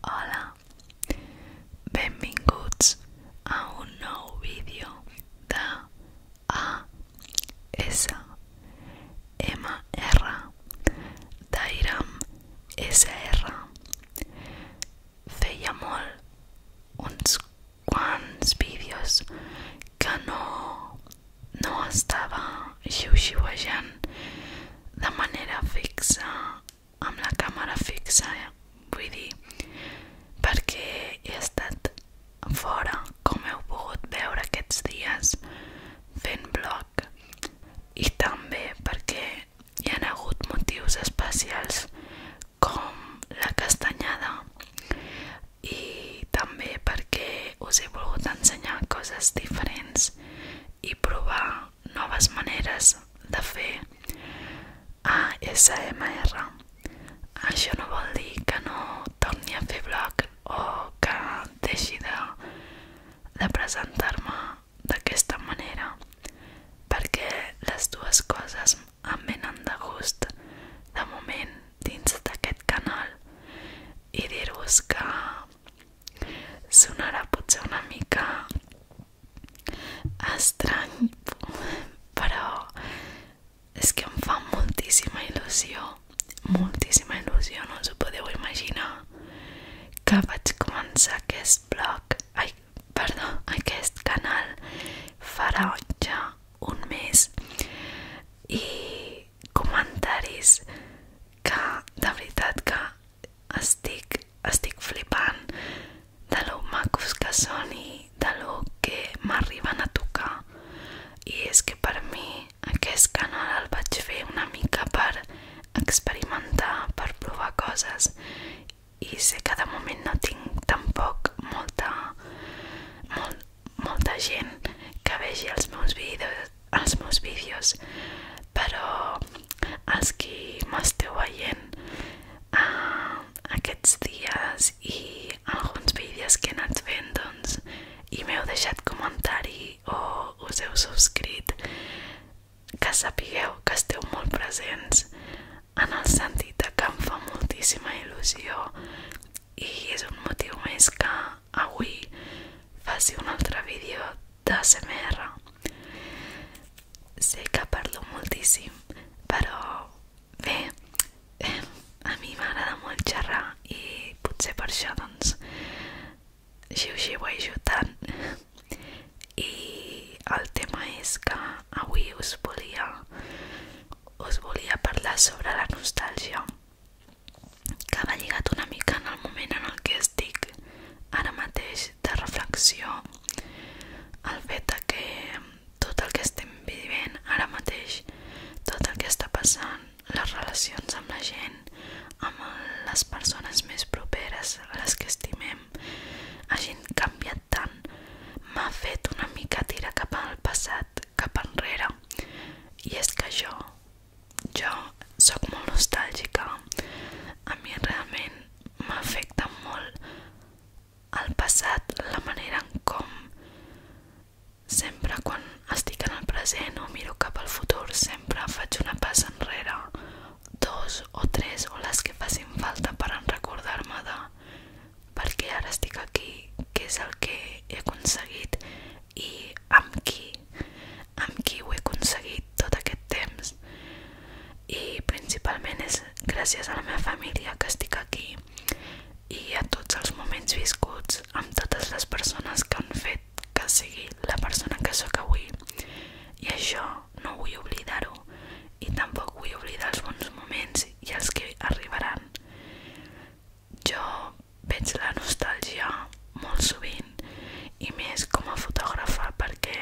Hola, benvinguts a un nou vídeo de ASMR d'Airam SR. Feia molt uns quants vídeos que no no estava xiuxiuejant de manera fixa amb la càmera fixa eh? vull dir perquè he estat fora com heu pogut veure aquests dies fent vlog i també perquè hi ha hagut motius especials com la castanyada i també perquè us he volgut ensenyar coses diferents i provar noves maneres de fer ASMR. Això no vol dir que no torni a fer vlog o que deixi de, de presentar-me d'aquesta manera, perquè les dues coses em venen de gust de moment dins d'aquest canal i dir-vos que Sonarà potser una mica estrany, però és que em fa moltíssima il·lusió, moltíssima il·lusió, no us ho podeu imaginar, que vaig començar aquest blog, ai, perdó, aquest canal farà ja un mes i comentaris que de veritat que estic, estic flipant de lo macos que són i de lo que m'arriben a tocar i és que per mi aquest canal el vaig fer una mica per experimentar, per provar coses i sé que de moment no tinc tampoc molta, molt, molta gent que vegi els meus vídeos els meus vídeos però els que m'esteu veient uh, aquests dies i alguns vídeos que he anat fent doncs, i m'heu deixat comentari o us heu subscrit que sapigueu que esteu molt presents en el sentit que em fa moltíssima il·lusió i és un motiu més que avui faci un altre vídeo d'ASMR sé que parlo moltíssim però bé eh, a mi m'agrada molt xerrar i potser per això doncs xiu-xiuejo tant i el tema és que avui us volia us volia parlar sobre la nostàlgia que va lligat una mica en el moment en el que estic ara mateix de reflexió el fet que tot el que estem vivint ara mateix tot el que està passant les relacions amb la gent amb les persones més properes les que estimem hagin canviat tant m'ha fet una mica tirar cap al passat cap enrere i és que jo jo sóc molt nostàlgica a mi realment m'afecta molt el passat la manera en com sempre quan estic en el present o miro cap al futur sempre faig una passa enrere dos o tres o les que facin falta per recordar-me de perquè ara estic aquí, què és el que he aconseguit i amb qui, amb qui ho he aconseguit tot aquest temps. I principalment és gràcies a la meva família que estic aquí i a tots els moments viscuts amb totes les persones que han fet que sigui la persona que sóc avui. I això no vull oblidar-ho i tampoc vull oblidar els bons moments i els que arribaran. Jo veig la nostàlgia molt sovint i més com a fotògrafa perquè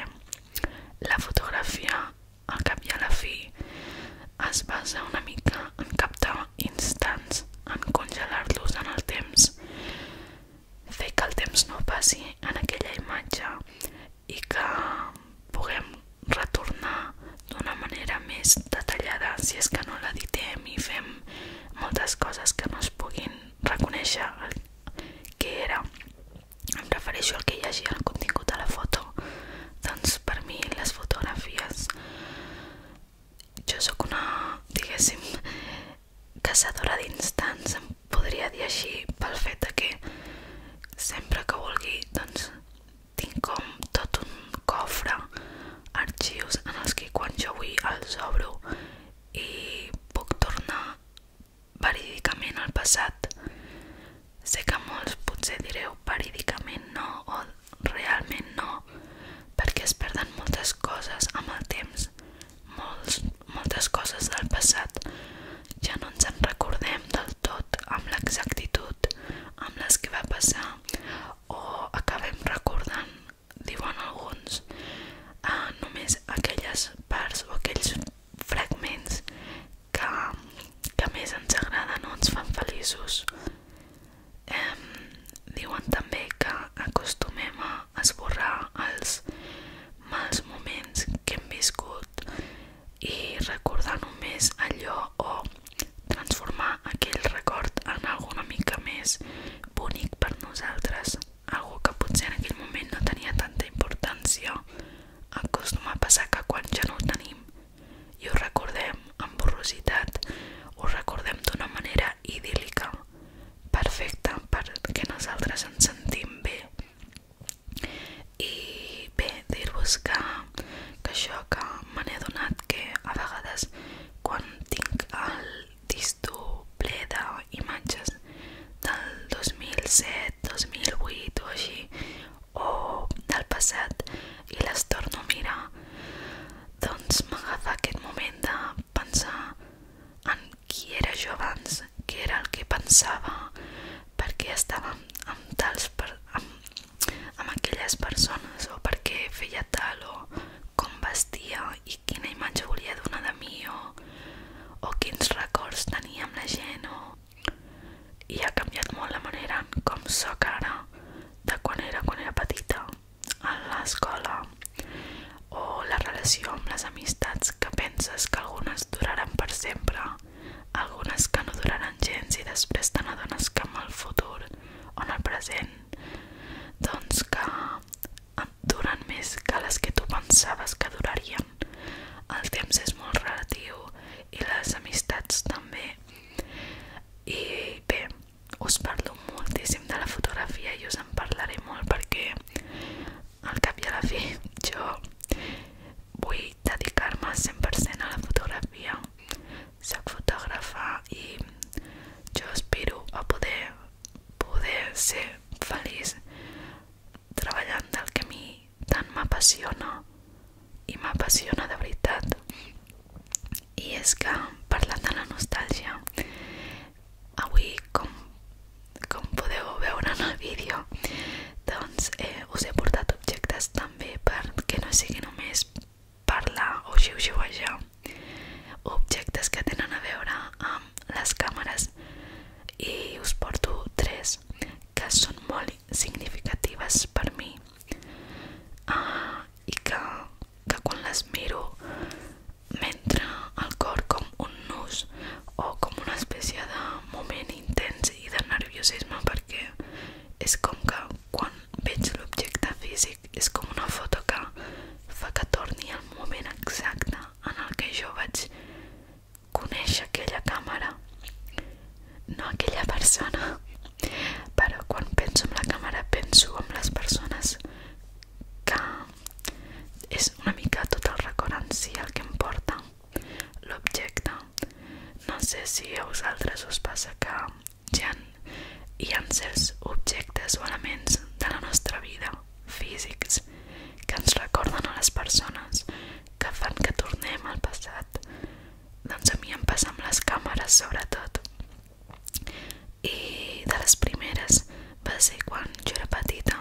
la fotografia al cap la fi es basa una mica en captar instants, en congelar-los en el temps, fer que el temps no passi en aquella imatge i que puguem retornar d'una manera més detallada si és que no l'editem i fem moltes coses que no es puguin reconèixer el que era em refereixo al que hi hagi en contingut de la foto doncs per mi les fotografies jo sóc una diguéssim caçadora d'instants em podria dir així pel fet de que sempre que vulgui doncs tinc com tot un cofre arxius en els que quan jo vull els obro i puc tornar verídicament al passat. Sé que molts potser direu verídicament no o realment no, perquè es perden moltes coses amb el temps, molts, moltes coses del passat. Ja no ens en recordem del tot amb l'exactitud amb les que va passar o acabem recordant diuen alguns, eh, només aquelles parts o aquells fragments que, que més ens agraden ens fan feliços. Eh, diuen també que acostumem a esborrar els mals moments que hem viscut i recordar només allò o transformar aquell record en alguna mica més bonic per nosaltres, algú que potser en aquell moment no tenia tanta importància. Acostuma a passar que quan ja no ho tenim i ho recordem amb borrositat, ho recordem d'una manera idíl·lica, perfecta perquè nosaltres ens sentim bé. I bé, dir-vos que, que això que me n'he adonat que a vegades quan tinc el ple d'imatges del 2007, 2008 o així, o del passat, i les torno a mirar, doncs m'agafa aquest moment de pensar en qui era jo abans, què era el que pensava, per què estava amb, amb tals... Per, amb, amb aquelles persones o perquè feia tal o com vestia i quina imatge volia donar de mi o, o quins records tenia amb la gent o... i ha canviat molt la manera com sóc ara de quan era quan era petita a l'escola o la relació amb les amistats que penses que algunes duraran per sempre algunes que no duraran gens i després te n'adones que amb el futur o en el present doncs que duren més que les que tu pensaves que durarien. El temps és molt relatiu i les amistats també. I bé, us parlo moltíssim de la fotografia i us en parlaré molt perquè al cap i a la fi jo vull dedicar-me 100% a la fotografia. Soc fotògrafa i jo aspiro a poder poder ser feliç treballant del que a mi tant m'apassiona i m'apassiona de veritat i és que parlant la nostàlgia avui com, com podeu veure en el doncs, eh, us he portat objectes també perquè no sigui només parlar o xiu-xiuejar objectes que tenen a veure amb les càmeres i us porto tres que són molt significatives per mi uh, i que, que quan les miro m'entra al cor com un nus o com una espècie de moment intens i de nerviosisme perquè és com que quan veig l'objecte físic és com una foto que fa que torni al moment exacte en el que jo vaig conèixer aquella càmera no aquella persona però quan penso en la càmera penso en les persones que és una mica tot el record en si el que em porta l'objecte no sé si a vosaltres us passa que ja tant hi ha certs objectes o elements de la nostra vida, físics, que ens recorden a les persones, que fan que tornem al passat. Doncs a mi em passa amb les càmeres, sobretot. I de les primeres va ser quan jo era petita.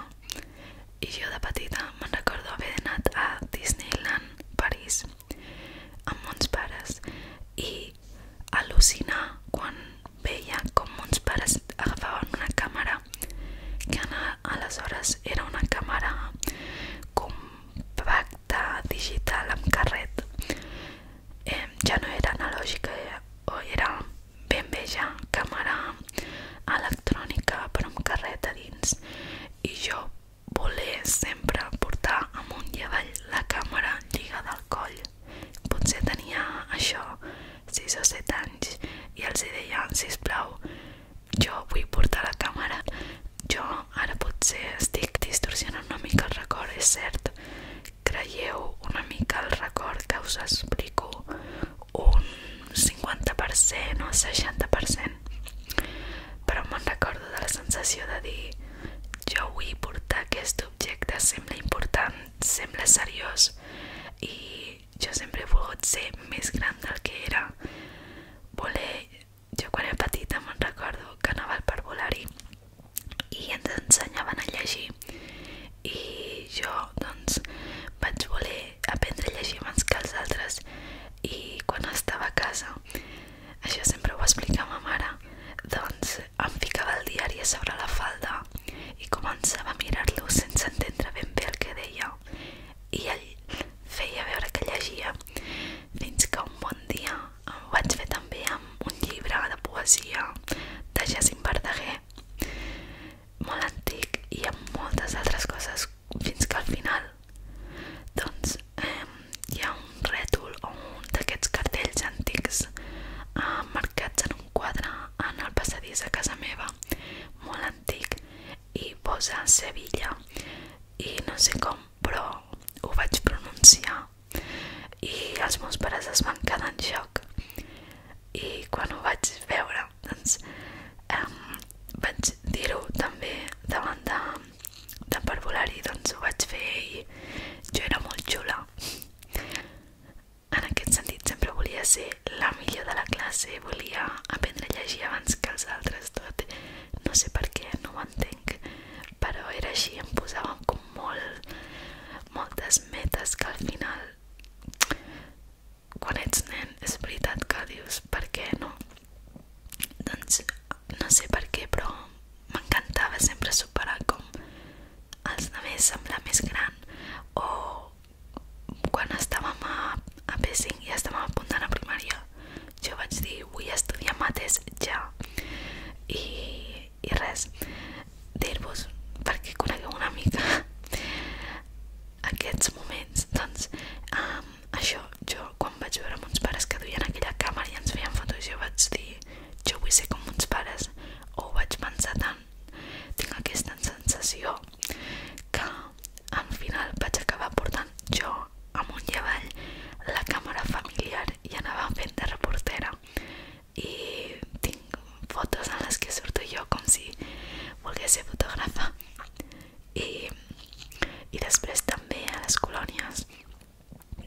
I jo de petita me'n recordo haver anat a Disneyland París amb uns pares i al·lucinar quan veia com mons pares una càmera que aleshores era una càmera compacta digital amb carret eh, ja no era analògica eh, era ben bé càmera electrònica però amb carret dins i jo voler sempre portar amunt i avall la càmera lligada al coll Potser tenia això 6 o 7 anys i els hi deia, sisplau, jo vull portar la càmera. Jo ara potser estic distorsionant una mica el record, és cert. Creieu una mica el record que us explico un 50% o 60%. Però me'n recordo de la sensació de dir jo vull portar aquest objecte, sembla important sembla seriós i jo sempre he volgut ser més gran del que era. Voler... Jo quan era petita me'n recordo que anava al parvulari i ens ensenyaven a llegir i jo doncs vaig voler aprendre a llegir abans que els altres i quan estava a casa, això sempre ho explica ma mare, doncs em ficava el diari sobre la falda i començava a mirar-lo sense entendre ben bé el que deia i ell feia veure que llegia fins que un bon dia em vaig fer també amb un llibre de poesia de Jacint Verdaguer molt antic i amb moltes altres coses fins que al final doncs eh, hi ha un rètol o un d'aquests cartells antics eh, marcats en un quadre en el passadís de casa meva, molt antic, i posa Sevilla, i no sé com, però ho vaig pronunciar, i els meus pares es van quedar en xoc, i quan ho vaig veure, doncs, um, vaig dir-ho també davant de, de parvulari, doncs ho vaig fer i jo era molt xula. En aquest sentit sempre volia ser la millor de la classe, volia aprendre a llegir abans que els altres tot. No sé per què, no ho entenc, però era així, em posàvem com molt, moltes metes que al final quan ets nen és veritat que dius per què no doncs no sé per què però m'encantava sempre superar com als altres semblar més gran o quan estàvem a, a P5 i ja estàvem apuntant a primària jo vaig dir vull estudiar mates ja i, i res dir-vos perquè conegueu una mica aquests moments doncs um, això jo quan vaig veure mons pares que duien aquella càmera i ens feien fotos jo vaig dir jo vull ser com uns pares, o ho vaig pensar tant. Tinc aquesta sensació que al final vaig acabar portant jo amunt i avall la càmera familiar i anava fent de reportera i tinc fotos en les que surto jo com si volgués ser fotògrafa i, i després també a les colònies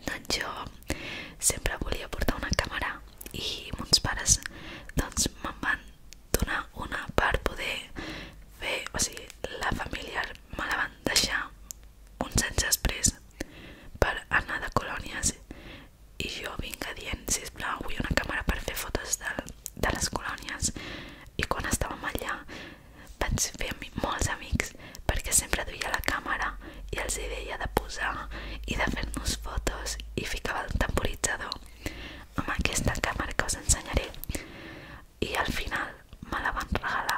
doncs jo sempre volia portar una càmera i mons pares doncs me'n una per poder fer, o sigui, la família me la van deixar per anar de colònies i jo vinc a dient, una càmera per fer fotos de, les colònies i quan estàvem allà vaig fer molts amics perquè sempre duia la càmera i els hi deia de posar i de fer-nos fotos i ficava el temporitzador amb aquesta càmera que us ensenyaré i al final me la van regalar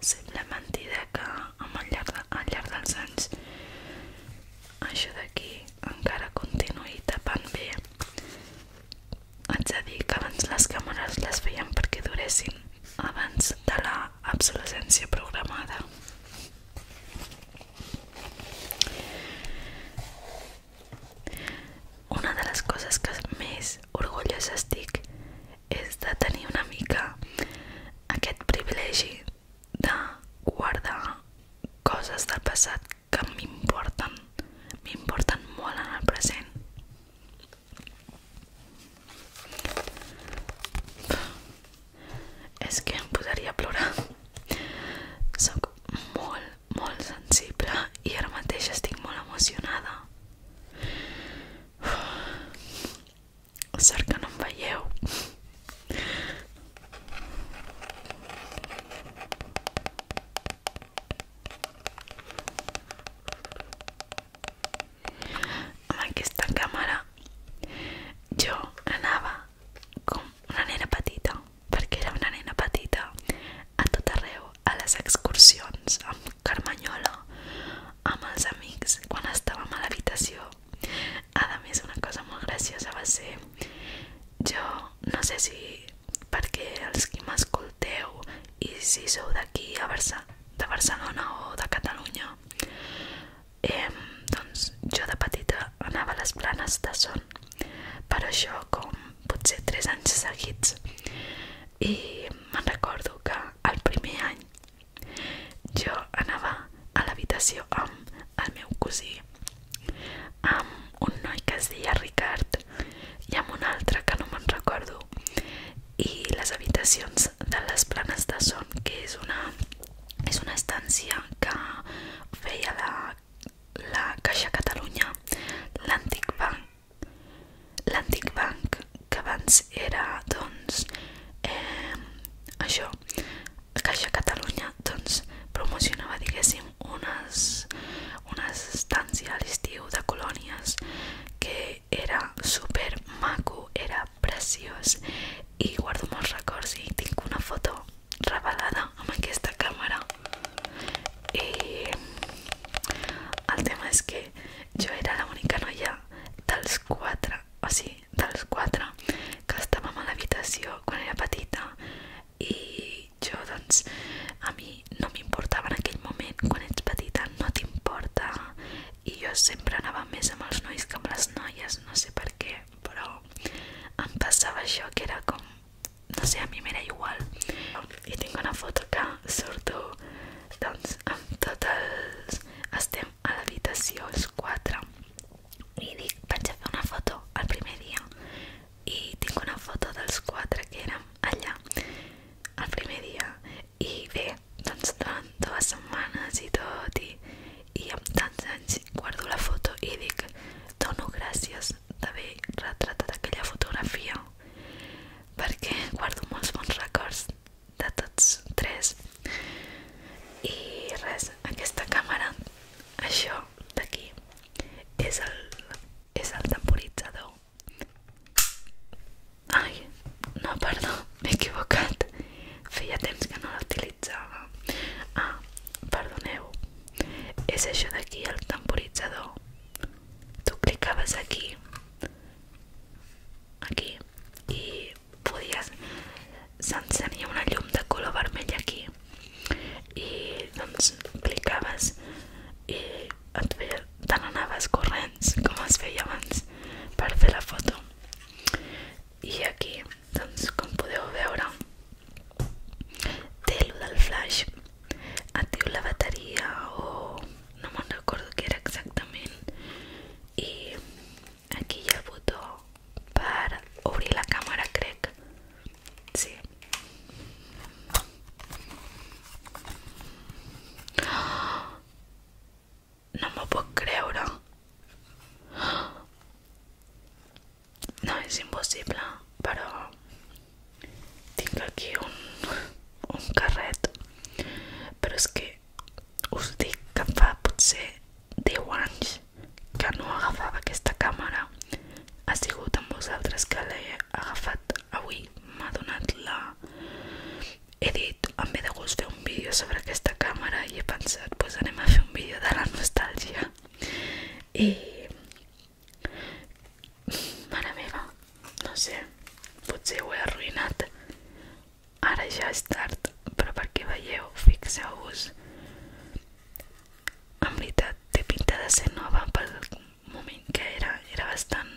Sembla mentida que amb el llarg, de, al llarg dels anys això d'aquí encara continuï tapant bé. Haig de dir que abans les càmeres les feien duressin abans de la obsolescència programada. Una de les coses que més orgullosa estic és de tenir una mica aquest privilegi de guardar coses del passat que m'importen, m'importen molt en el present. És que em posaria a plorar. Soc molt, molt sensible i ara mateix estic molt emocionada. Sort que no em veieu amb aquesta càmera jo anava com una nena petita perquè era una nena petita a tot arreu, a les excursions amb Carmanyola amb els amics quan estàvem a l'habitació a més una cosa molt graciosa va ser jo no sé si perquè els que m'escolteu i si sou d'aquí a Barcelona de Barcelona o de Catalunya eh, doncs jo de petita anava a les planes de son per això com potser 3 anys seguits i me'n recordo que el primer any jo anava a l'habitació amb el meu cosí amb un noi que es deia Ricard i amb un altre que no me'n recordo i les habitacions de les planes de son, que és una, és una estància que feia la, la Caixa Catalunya, l'antic banc, l'antic banc que abans era, doncs, eh, això, Caixa Catalunya, doncs, promocionava, diguéssim, unes, unes estàncies a l'estiu de colònies que que era super maco, era preciós i guardo molts records i tinc una foto revelada amb aquesta càmera i el tema és que jo era l'única noia dels quatre, o sigui, dels quatre que estàvem a l'habitació quan era petita i jo doncs a mi no m'importava en aquell moment, quan ets petita no t'importa i jo sempre anava més amb els nois que amb les noies, no sé per què, però em passava això que era com, no sé, a mi m'era igual. I tinc una foto que surto doncs amb tots els... estem a l'habitació els quatre i dic, vaig a fer una foto el primer dia i tinc una foto dels quatre que érem allà el primer dia i bé, doncs durant dues setmanes i tot i, i amb tants anys guardo la foto i dic dono gràcies d'haver retratat aquella fotografia perquè guardo molts bons records de tots tres i res, aquesta càmera això d'aquí és el, és el temporitzador Ai, no, perdó, m'he equivocat. Feia temps que no l'utilitzava. Ah, perdoneu. És això d'aquí, el temporitzador. Tu clicaves aquí aquí i podies s'encenia una llum de color vermell aquí i doncs clicaves i et tant anaves corrents com es feia abans per fer la foto i aquí, doncs, com podeu veure té lo del flash et diu la bateria o no me'n recordo què era exactament i aquí hi ha el botó per obrir la càmera crec sí no m'ho puc creure. No, és impossible, però tinc aquí un, un carret. Però és que us dic que fa potser 10 anys que no agafava aquesta càmera. Ha sigut amb vosaltres que l'he agafat avui. M'ha donat la he dit, em ve de gust fer un vídeo sobre aquesta càmera i he pensat, doncs pues, anem a fer un vídeo de la nostàlgia i... mare meva, no sé, potser ho he arruïnat ara ja és tard, però perquè veieu, fixeu-vos en veritat té pinta de ser nova pel moment que era, era bastant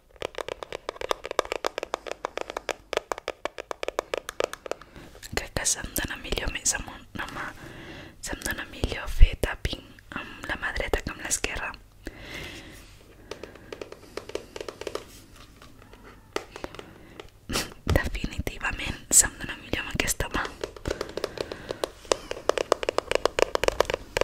Crec que se'm dona millor més amb una mà. Se'm dona millor fer tapping amb la mà dreta que amb l'esquerra. Definitivament se'm dona millor amb aquesta mà.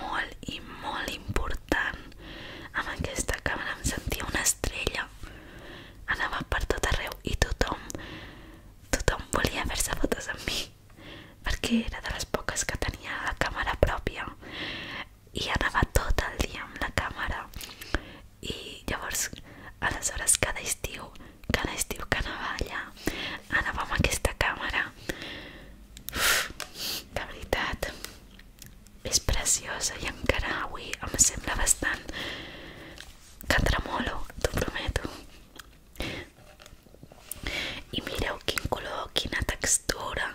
molt i molt important. Amb aquesta càmera em sentia una estrella. Anava per tot arreu i tothom, tothom volia fer-se fotos amb mi perquè era de les poques que tenia la càmera pròpia i anava tot el dia amb la càmera i llavors aleshores cada estiu cada estiu que anava allà anava amb aquesta càmera Uf, de veritat és preciosa i encara avui ah, em sembla bastant que tremolo, t'ho prometo. I mireu quin color, quina textura.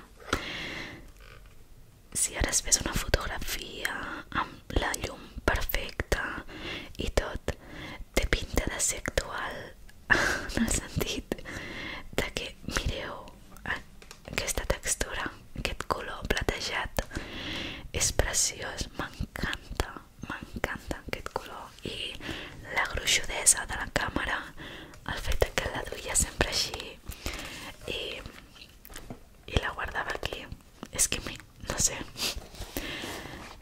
Si ara es fes una fotografia amb la llum perfecta i tot, té pinta de ser actual en el sentit de que mireu oh, aquesta textura, aquest color platejat és preciós, m'encanta, m'encanta aquest color i la gruixudesa de la càmera, el fet que la duia sempre així i, i la guardava aquí, és que mi, no sé,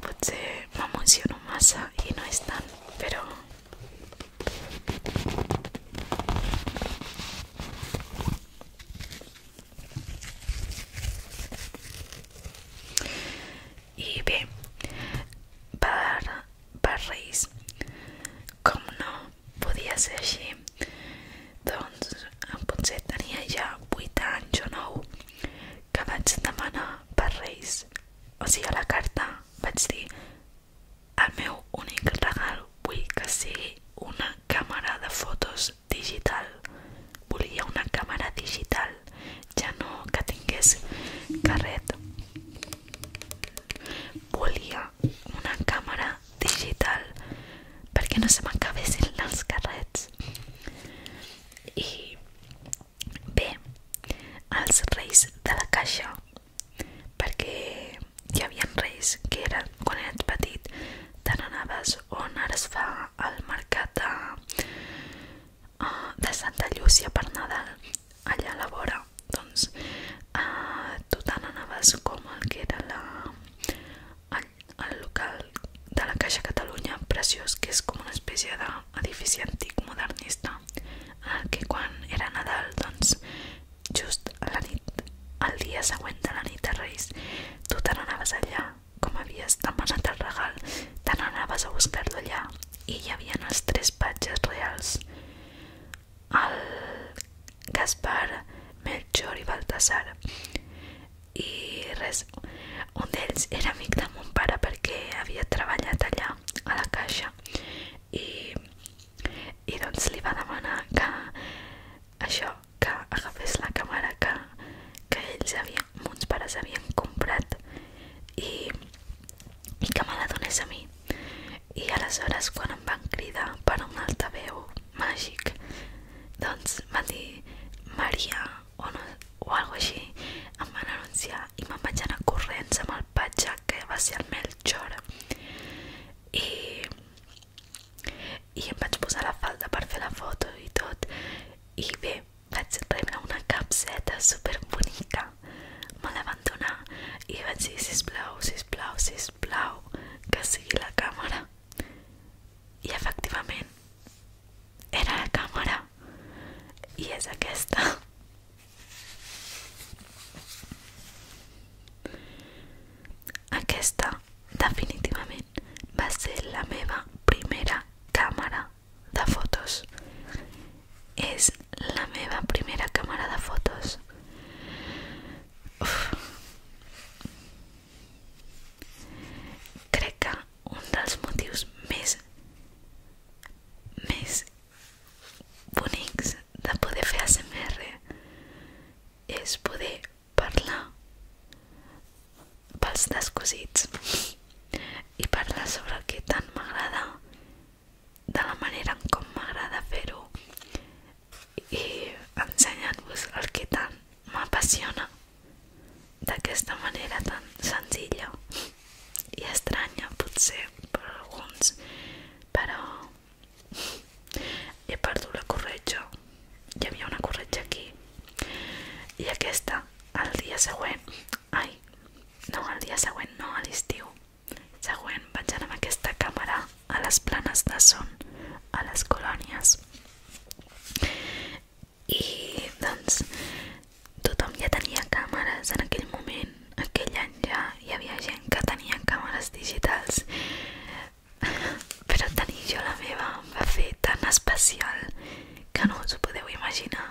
potser m'emociono massa i no és tant, però i bé, per, per Reis, com no podia ser així, doncs potser tenia ja 8 anys o 9 que vaig demanar per Reis. O sigui, a la carta vaig dir el meu únic regal vull que sigui una càmera de fotos digital. Volia una càmera digital, ja no que tingués carret. Volia una càmera digital perquè no se m'acabessin els carrets. I bé, els reis de la caixa perquè hi havia reis que era, quan eres petit te n'anaves on ara es fa el mercat de, eh, de Santa Llúcia per Nadal allà a la vora doncs eh, tu te n'anaves com el que era la, el, el local de la Caixa Catalunya preciós que és com una espècie d'edifici antic modernista en el que quan era Nadal doncs just la nit, el dia següent de la nit de Reis, tu te n'anaves allà, com havies demanat el regal, te n'anaves a buscar-lo allà, i hi havia els tres patges reals, el Gaspar, Melchor i Baltasar, i res, un d'ells era amic de mon pare perquè havia treballat allà, a la caixa, i i doncs li va demanar que això, que agafés la càmera que, que ells havien, mons pares havien comprat i, i que me a mi i aleshores quan van cridar per un altaveu màgic doncs van Maria o, no, o alguna així em van i me'n vaig anar corrents amb el patxa que va ser el xor i, i em vaig posar la falda per fer la foto i tot i bé, vaig rebre una capseta super bonica me la van donar i vaig dir sisplau, sisplau, sisplau que sigui la càmera i efectivament era la càmera i és aquesta aquesta, definitivament, va ser la meva primera càmera de fotos. És la meva primera càmera de fotos. Uf. Crec que un dels motius més més bonics de poder fer ASMR és poder parlar pels descosits i parlar sobre el que tant m'agrada de la manera en com m'agrada fer-ho i ensenyant-vos el que tant m'apassiona d'aquesta manera tan senzilla i estranya potser per alguns però he perdut la corretja hi havia una corretja aquí i aquesta el dia següent ai, no, el dia següent no, a l'estiu següent vaig anar amb aquesta a les planes de son a les colònies i doncs tothom ja tenia càmeres en aquell moment gent, aquell any ja hi havia gent que tenia càmeres digitals però tenir jo la meva em va fer tan especial que no us ho podeu imaginar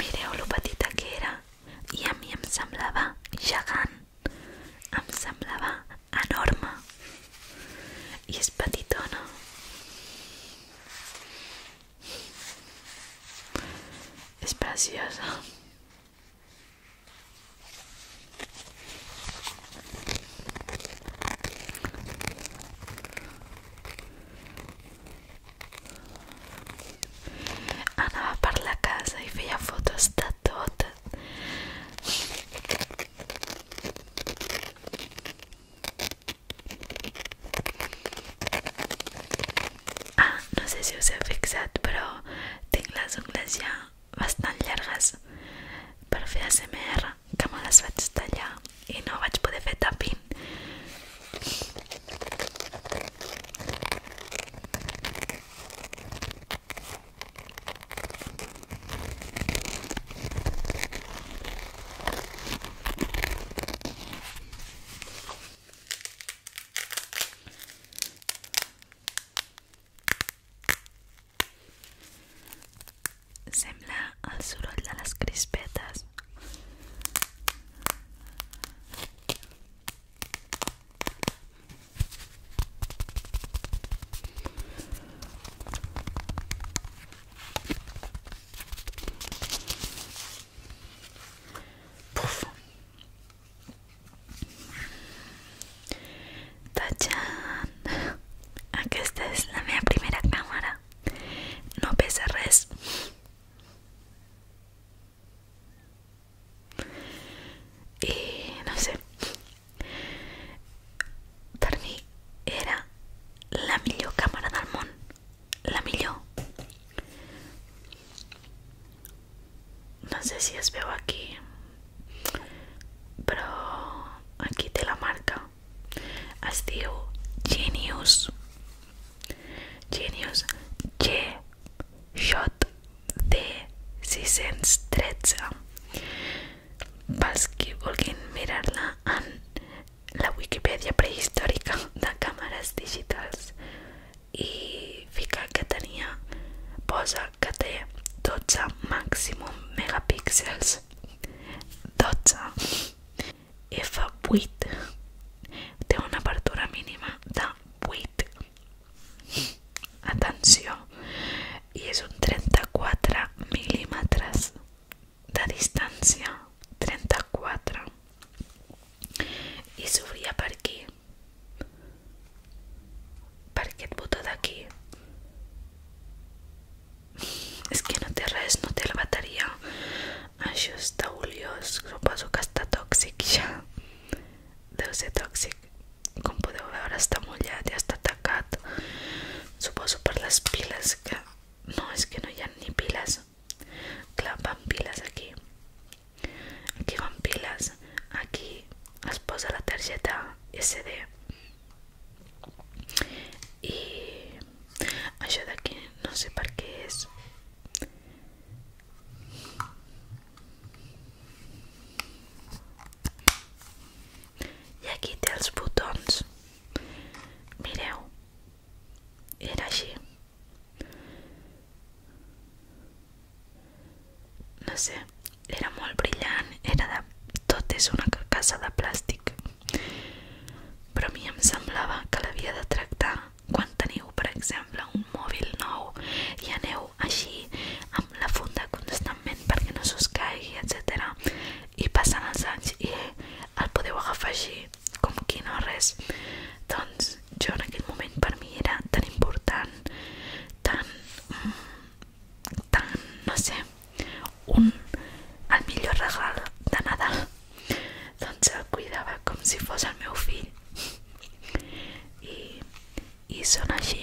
Mireu lo petita que era i a mi em semblava gegant em semblava enorme Y es patitona. Es preciosa. va por la casa Y veía fotos de todas Ah, no sé si us heu fixat, però tinc les ungles ja bastant llargues per fer ASMR, que me les vaig tallar i no vaig poder fer tapping. Sembla el a de las crispetas Puf. Tachan, aunque esta es la primera cámara, no pesa Y no sé, per mi era la millor càmera del món la millor no sé si es veu aquí però aquí té la marca es diu Genius Genius G Shot D613 pels qui vulguin mirar-la en la Wikipedia prehistòrica de càmeres digitals i fica que tenia posa que té 12 màximum megapíxels 12 f8 té una apertura mínima de 8 atenció i és un 34 mil·límetres de distancia, 34 y s'obria por aquí per aquest de aquí es que no te res, no te la batería això está oliós suposo que ya de ya debe ser tóxico como podeu ver está mullat y hasta tacat suposo por las pilas que No, és que no hi ha ni piles. Clar, van piles aquí. Aquí van piles. Aquí es posa la targeta SD. I això d'aquí no sé per què és. I aquí té els botons. Mireu, era així. No sé, era molt brillant, era de... tot és una carcassa de plàstic. Però a mi em semblava que l'havia de tractar quan teniu, per exemple, un mòbil nou i aneu així amb la funda constantment perquè no s'us caigui, etc i passen els anys i el podeu agafar així com qui no res doncs jo en aquell moment per mi era tan important tan mm, tan, no sé un, el millor regal de Nadal doncs el cuidava com si fos el meu fill i, i són així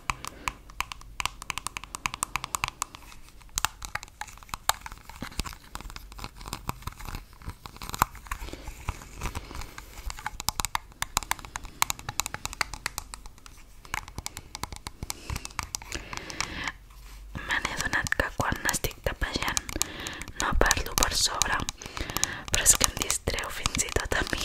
Me n'he adonat que quan n'estic tapejant no parlo per sobre, però és que em distreu fins i tot a mi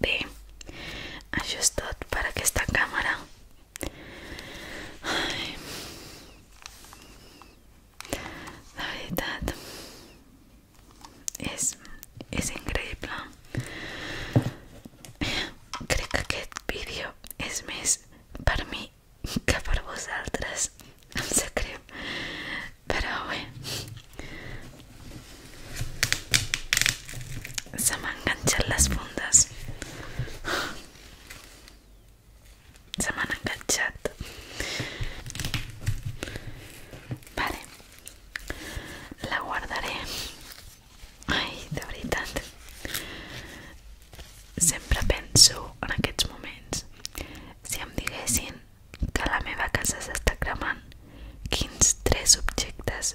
Ve, ayustad para que esta cámara la verdad es, es increíble creo que este vídeo es más para mí que para vosotras, se sé, Pero pero se Se han enganchado las fundas Se me han enganchado Vale. La guardaré Ai, de veritat. Sempre penso en aquests moments. Si em diguessin que la meva casa s'està cremant, quins tres objectes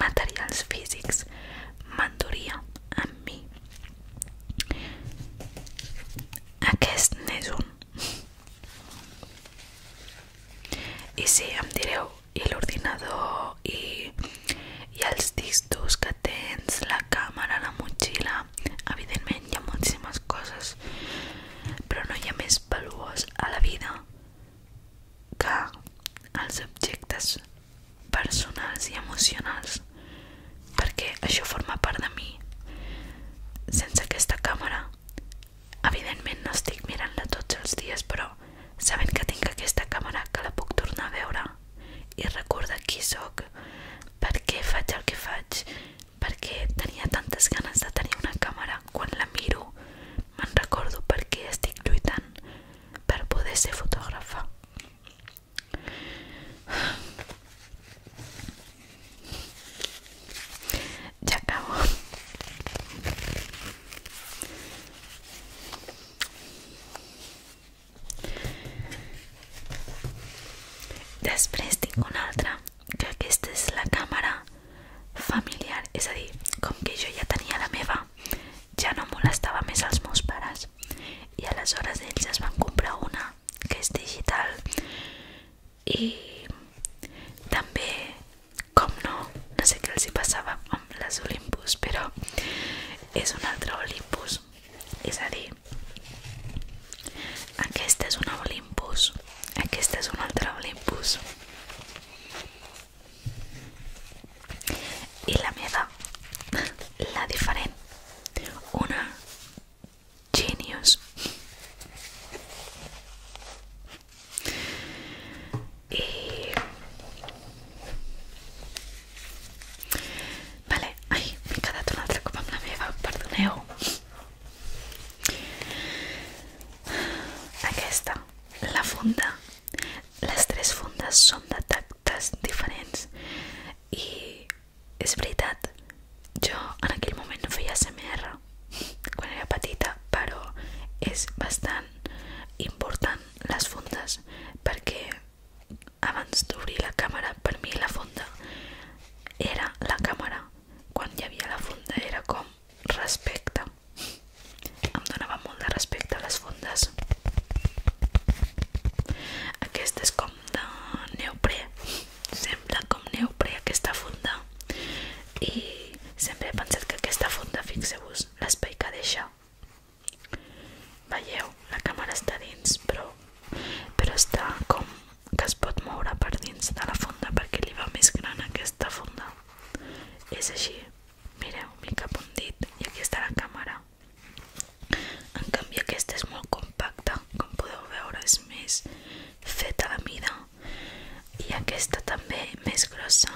materials físics m'enduria amb mi? Aquest n'és I sí, em direu i l'ordinador i, i els distos que tens, la càmera, la motxilla evidentment hi ha moltíssimes coses però no hi ha més valuós a la vida que els objectes personals i emocionals perquè això forma part de mi sense aquesta càmera Evidentment no estic mirant-la tots els dies, però sabent que tinc aquesta càmera que la puc tornar a veure i recorda qui sóc, per què faig el que faig, perquè tenia tantes ganes de tenir una càmera. Quan la miro, me'n recordo per què estic lluitant per poder ser fotògrafa. Ja acabo. Després tinc una altra, que aquesta és la càmera familiar, és a dir, com que jo ja tenia la meva, ja no molestava més els meus pares i aleshores ells es van comprar una que és digital i també como no, no sé qué si pasaba las las Olympus, pero es un otro Olympus, es a Aquí aquesta es una Olympus, esta es un otro Olympus y la meva, la diferente, una Genius Y... Vale, ai, m'he quedat un altre cop amb la meva, Aquesta, la funda. Les tres fundes són de diferents i és veritat, jo en aquell moment no feia ASMR quan era petita, però és bastant important les fondes perquè abans d'obrir la càmera per mi la fonda era la càmera quan hi havia la fonda era com respecte em donava molt de respecte a les fondes aquesta és com de sembla com neoprè aquesta fonda i sempre he que aquesta fonda fixeu-vos metres l'espai que deixa. Veieu, la càmera està dins, però, però està com que es pot moure per dins de la funda perquè li va més gran aquesta funda. És així. Mireu, mica cap un dit i aquí està la càmera. En canvi aquesta és molt compacta, com podeu veure és més feta a la mida i aquesta també més grossa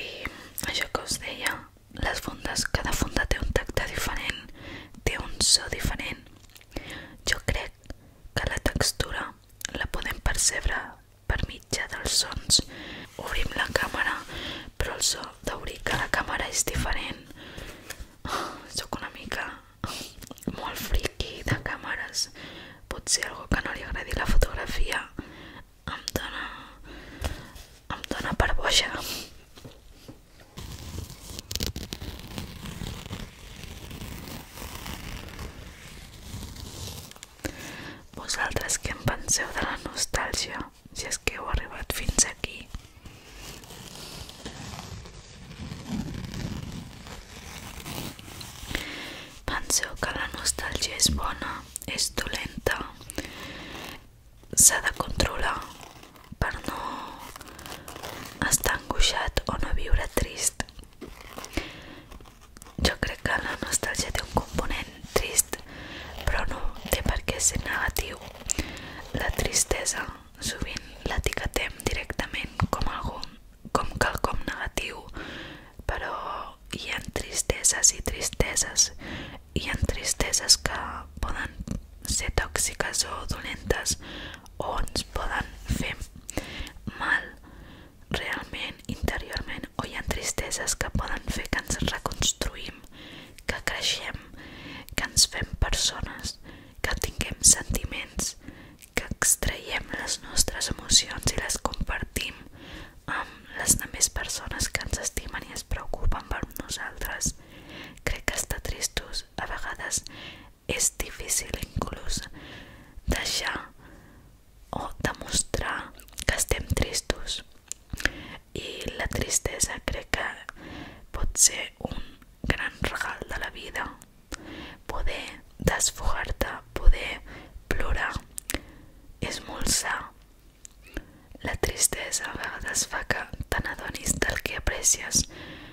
i això que us deia les fundes, cada funda té un tacte diferent té un so diferent jo crec que la textura la podem percebre per mitjà dels sons. Obrim la càmera, però el so d'obrir cada càmera és diferent. Oh, soc una mica molt friqui de càmeres. Potser algú que no li agradi la fotografia em dona... em dona per boja. Vosaltres què en penseu de la nostàlgia, si és que heu arribat fins aquí? Penseu que la nostàlgia és bona, és dolenta, s'ha de controlar per no estar angoixat o no viure trist. Jo crec que la nostàlgia té un component trist, però no té per què ser negatiu. La tristesa sovint l'etiquetem directament com algun, com quelcom negatiu, però hi ha tristeses i tristeses, hi ha tristeses que poden ser tòxiques o dolentes o ens poden fer mal realment, interiorment o hi ha tristeses que poden fer que ens reconstruïm, que creixem, que ens fem persones, que tinguem sentiments, que extraiem les nostres emocions i les compartim amb les demés persones que ens estimen i es preocupen per nosaltres. Crec que està tristos inclús a vegades és difícil inclús deixar o demostrar que estem tristos i la tristesa crec pot ser un gran regal de la vida poder desfogar-te poder plorar és molt sa la tristesa vegades fa que te n'adonis del que aprecies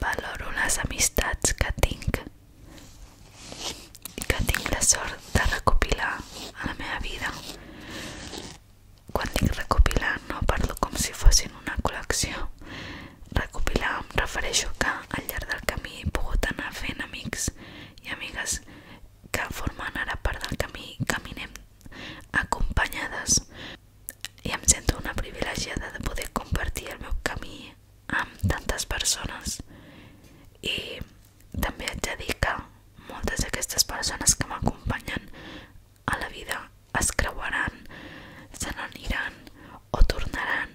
Valoro les amistats que tinc i que tinc la sort de recopilar a la meva vida. Quan dic recopilar no parlo com si fossin una col·lecció. Recopilar em refereixo que al llarg del camí he pogut anar fent amics i amigues que formen ara part del camí i caminem acompanyades i em sento una privilegiada de poder compartir el meu camí amb tantes persones i també haig de dir que moltes d'aquestes persones que m'acompanyen a la vida es creuaran, se n'aniran o tornaran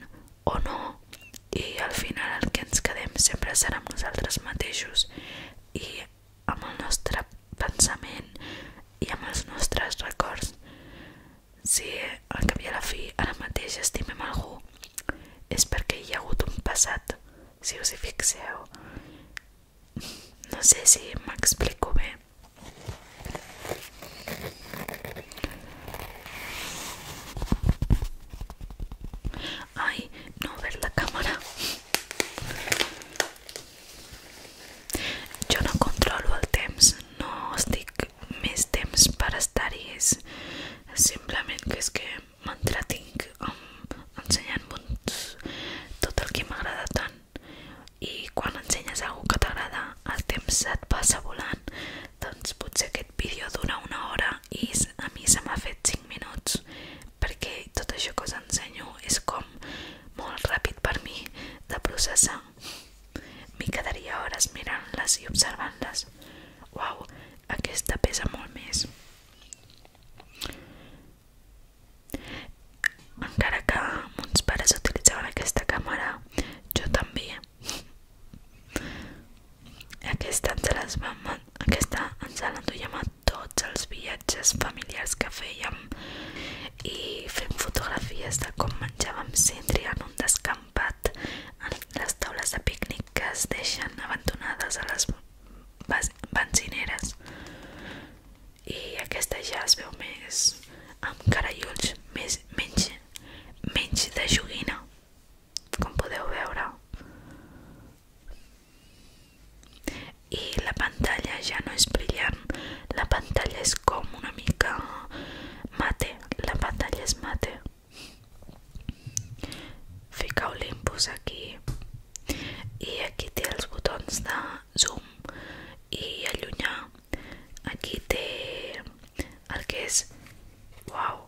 o no i al final el que ens quedem sempre serà amb nosaltres mateixos i amb el nostre pensament i amb els nostres records si al cap i a la fi ara mateix estimem algú és perquè hi ha hagut un passat, si us hi fixeu. No sé si m'explico bé. Ai, no he la càmera. Jo no controlo el temps, no estic més temps per estar-hi, és simplement que és que m'entretinc ensenyant-vos tot el que m'agrada tant i quan ensenyes algú que t'agrada el temps se't passa volant, doncs potser aquest vídeo dura una hora i a mi se m'ha fet 5 minuts perquè tot això que us ensenyo és com molt ràpid per mi de processar. M'hi quedaria hores mirant-les i observant-les. Uau, aquesta pesa molt més. Encara que uns pares utilitzaven aquesta càmera, jo també. Aquesta ens l'enduiem a tots els viatges familiars que feia menjàvem i fem fotografies de com menjàvem cindri en un descampat en les taules de pícnic que es deixen abandonades a les benzineres i aquesta ja es veu més amb cara i ulls més, menys, menys de joguina com podeu veure i la pantalla ja no és brillant la pantalla és com una mica mate, la pantalla és mate fica Olympus aquí i aquí té els botons de zoom i allunyar aquí té el que és uau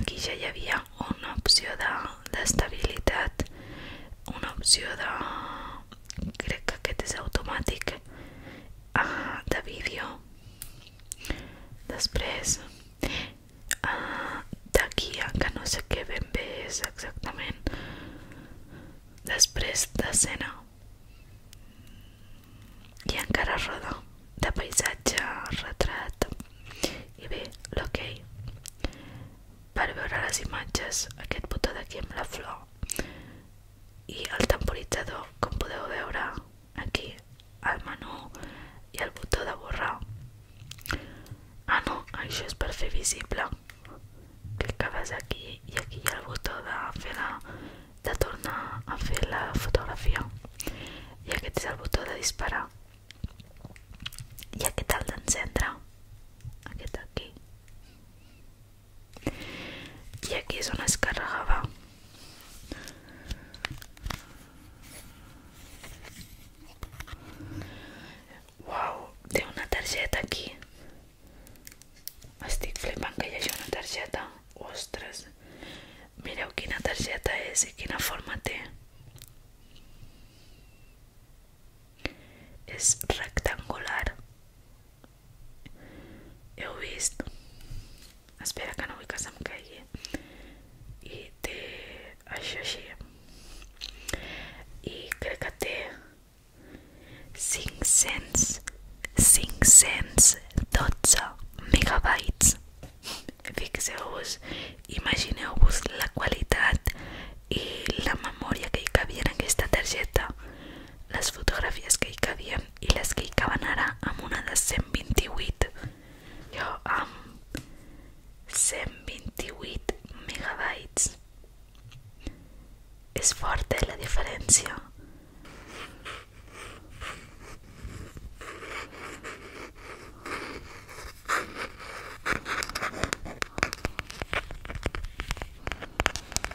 aquí ja hi havia una opció d'estabilitat de, una opció de crec que aquest és automàtic ah, de vídeo després ah, de guia que no sé què ben bé és exactament després d'escena i encara roda de paisatge, retrat i bé, l'hoquei okay. per veure les imatges aquest botó d'aquí amb la flor i el temporitzador, com podeu veure aquí, al menú i el botó de borrar. Ah no, això és per fer visible. Clicaves aquí i aquí hi ha el botó de, fer la, de tornar a fer la fotografia. I aquest és el botó de disparar. I aquest el d'encendre. Aquest aquí i aquí és on es carregava uau, té una targeta aquí estic flipant que hi hagi una targeta ostres mireu quina targeta és i quina forma té és rectangular heu vist espera que no vull que se'm caigui i té això així i crec que té 500 512 megabytes fixeu-vos imagineu-vos la qualitat i la memòria que hi cabia en aquesta targeta les fotografies que hi cabien i les que hi caben ara amb una de 128 jo amb 128 megabytes és forta eh, la diferència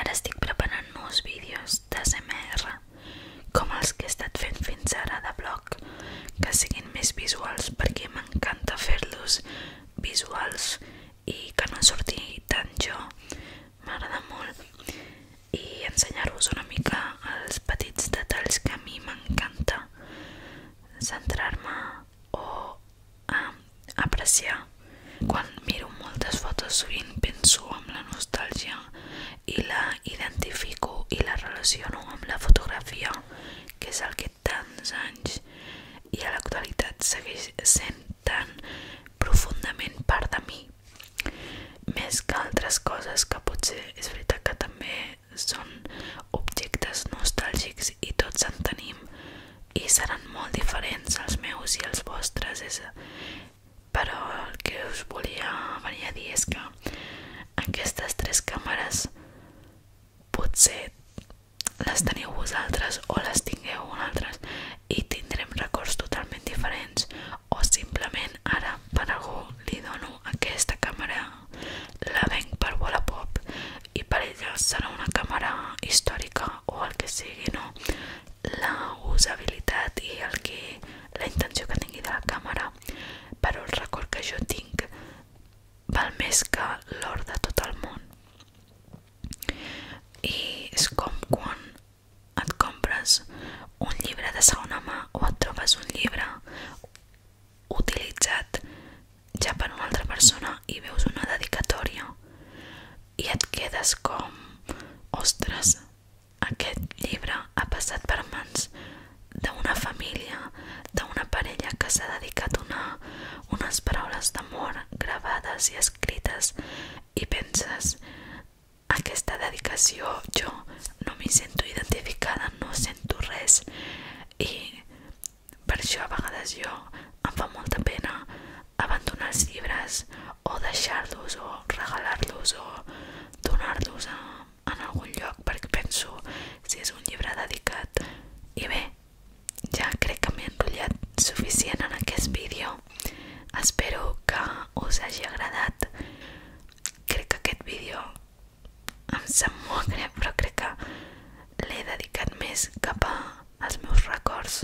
Ara estic preparant nous vídeos d'ASMR, com els que he estat fent fins ara de blog, que siguin més visuals perquè m'encanta fer-los visuals i que no en surti tant jo, m'agrada molt, i ensenyar-vos una mica els petits detalls que a mi m'encanta centrar-me o um, apreciar. Quan miro moltes fotos sovint penso amb la nostàlgia i la identifico i la relaciono amb la fotografia, que és el que tants anys i a l'actualitat segueix sent tan profundament part de mi. Més que altres coses que potser és veritat que també són objectes nostàlgics i tots en tenim i seran molt diferents els meus i els vostres és... però el que us volia venir a dir és que aquestes tres càmeres potser les teniu vosaltres o les tingueu un altres i tindrem records totalment diferents o simplement ara per algú li dono aquesta càmera la venc per Wallapop i per ella serà una càmera històrica o el que sigui, no? La usabilitat i el que, la intenció que tingui de la càmera, però el record que jo tinc val més que l'or de tot el món. I és com quan et compres un llibre de segona mà o et trobes un llibre utilitzat ja per una altra persona i veus una dedicatòria i et quedes com ostres, aquest llibre ha passat per mans d'una família, d'una parella que s'ha dedicat una, unes paraules d'amor gravades i escrites i penses aquesta dedicació jo no m'hi sento identificada, no sento res i per això a vegades jo em fa molta pena abandonar els llibres o deixar-los o regalar-los o donar-los en algun lloc perquè penso si és un llibre dedicat i bé, ja crec que m'he enrotllat suficient en aquest vídeo espero que us hagi agradat crec que aquest vídeo em sap molt greu però crec que l'he dedicat més cap als meus records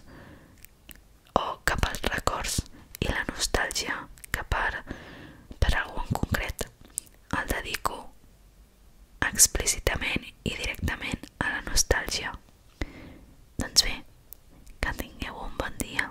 o cap als records i la nostàlgia que per, per algú en concret el dedico explícitament i directament a la nostàlgia doncs bé, que tingueu un bon dia